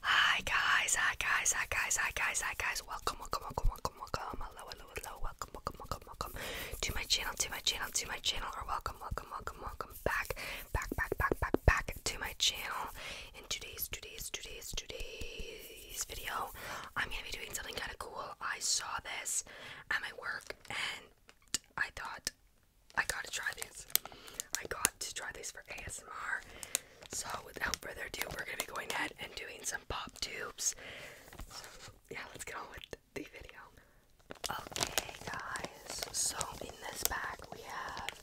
Hi guys, hi guys, hi guys, hi guys, hi guys. Welcome, welcome, welcome, welcome, welcome. Hello, hello, hello. Welcome, welcome, welcome, welcome to my channel, to my channel, to my channel, or welcome, welcome, welcome, welcome back, back, back, back, back, back to my channel. In today's, today's, today's, today's video, I'm gonna be doing something kind of cool. I saw this at my work and I thought I gotta try these. I got to try these for ASMR. So without further ado, we're gonna be going ahead and doing some pop tubes. So yeah, let's get on with the video. Okay, guys. So in this pack we have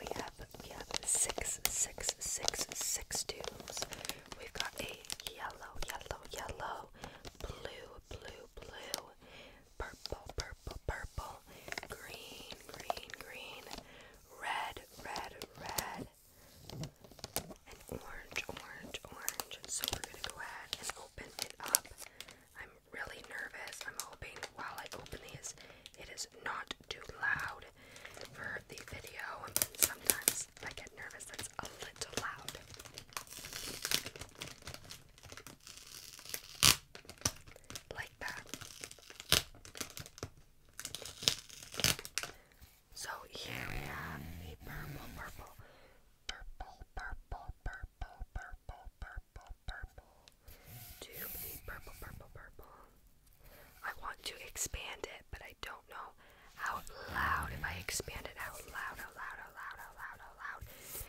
we have we have six six six six tubes. We've got a yellow, yellow, yellow, blue, blue, blue, purple, purple, purple, green, green, green, red, red, red, and orange, orange, orange. So we're going to go ahead and open it up. I'm really nervous. I'm hoping while I open these, it is not too loud for the video. sometimes I get nervous that a little loud like that. So here we have a purple, purple, purple, purple, purple, purple, purple, purple purple, purple, purple. I want to expand it, but I don't know how loud. If I expand it out loud, out loud, out loud, out loud, out loud,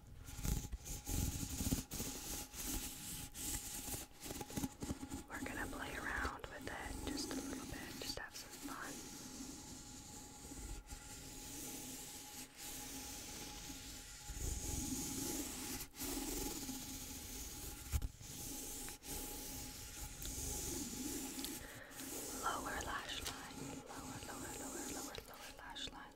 we're gonna play around with it just a little bit, just have some fun. Lower lash line, lower, lower, lower, lower, lower lash line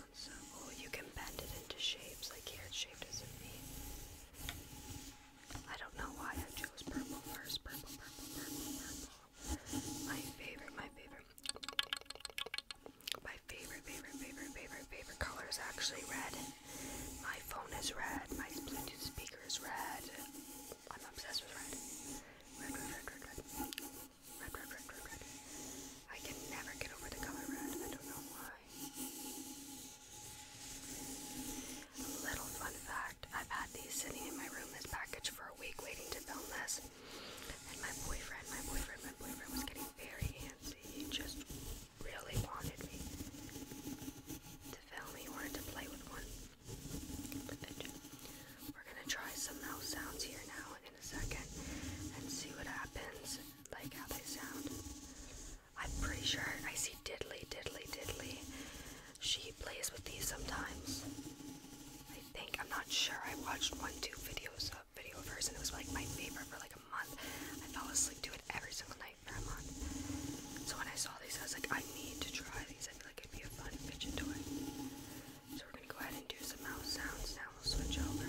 oh, you can bend it into shapes. Like here, it's shaped as a V. I don't know why I chose purple first. Purple, purple, purple, purple. My favorite, my favorite. My favorite, favorite, favorite, favorite color is actually red. My phone is red. My Bluetooth speaker is red. I'm obsessed with red. Red, red, red, red, red. Red, red, red, red, red. I can never get over the color red. I don't know why. Little fun fact I've had these sitting in my room, this package, for a week waiting to film this. And my boyfriend, my boyfriend, my boyfriend was getting very handsy. He just really wanted me to film. He wanted to play with one. we're gonna try some mouse sounds here now, second and see what happens, like how they sound. I'm pretty sure I see Diddley, Diddley, Diddley. She plays with these sometimes. I think, I'm not sure. I watched one, two videos of video of and it was like my favorite for like a month. I fell asleep to it every single night for a month. So when I saw these, I was like, I need to try these. I feel like it'd be a fun fidget it. So we're gonna go ahead and do some mouse sounds now. We'll switch over.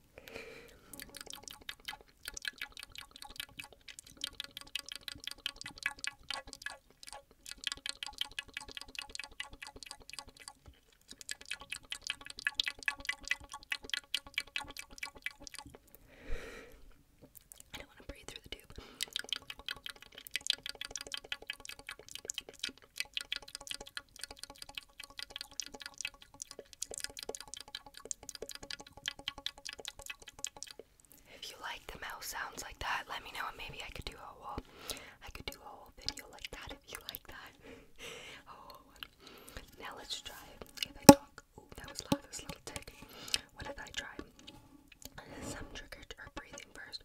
I don't want to breathe through the tube. If you like the mouse sounds like that, let me know maybe I could do a whole I could do a whole video like that if you like that. now let's try if I talk oh that was loud this little tick. What if I try some trigger or breathing first?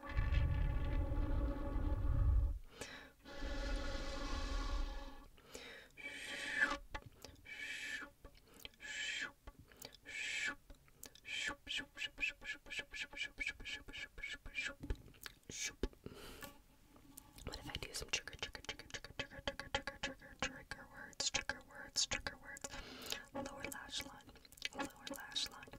What if I do some trigger, trigger, trigger, trigger, trigger, trigger, trigger, trigger, trigger words, trigger words, trigger words, lower lash line, lower lash line,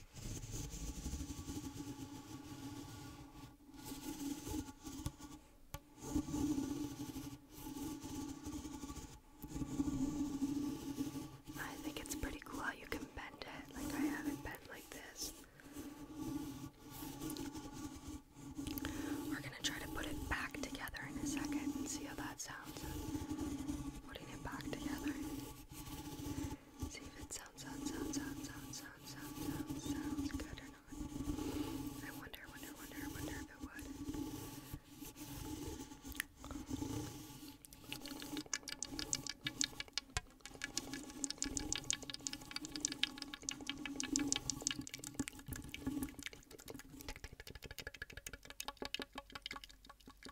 I think it's pretty cool how you can bend it. Like, I have it bent like this. We're gonna try to put it back together in a second and see how that sounds. Putting it back together. See if it sounds, sounds, sounds, sounds, sounds, sounds, sounds, sounds, sounds good or not. I wonder, wonder, wonder, wonder if it would.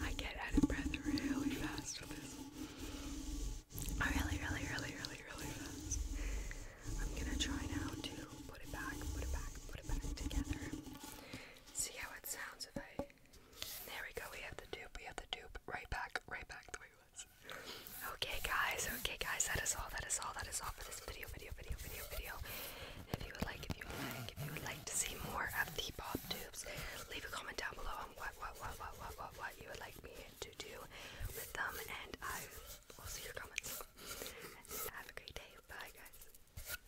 I get out of breath really fast with this. really, really, really, really, really fast. I'm gonna try now to put it back, put it back, put it back together. See how it sounds if I there we go, we have the dupe, we have the dupe. Right back, right back the way it was. Okay guys, okay guys, that is all, that is all, that is all for this video, video, video, video, video. If you would like, if you would like, if you would like to see more of the pop tubes, leave a comment down below on what, what, what, what, what, what, what you would like me to do with them, and I will see your comments. Have a great day. Bye guys.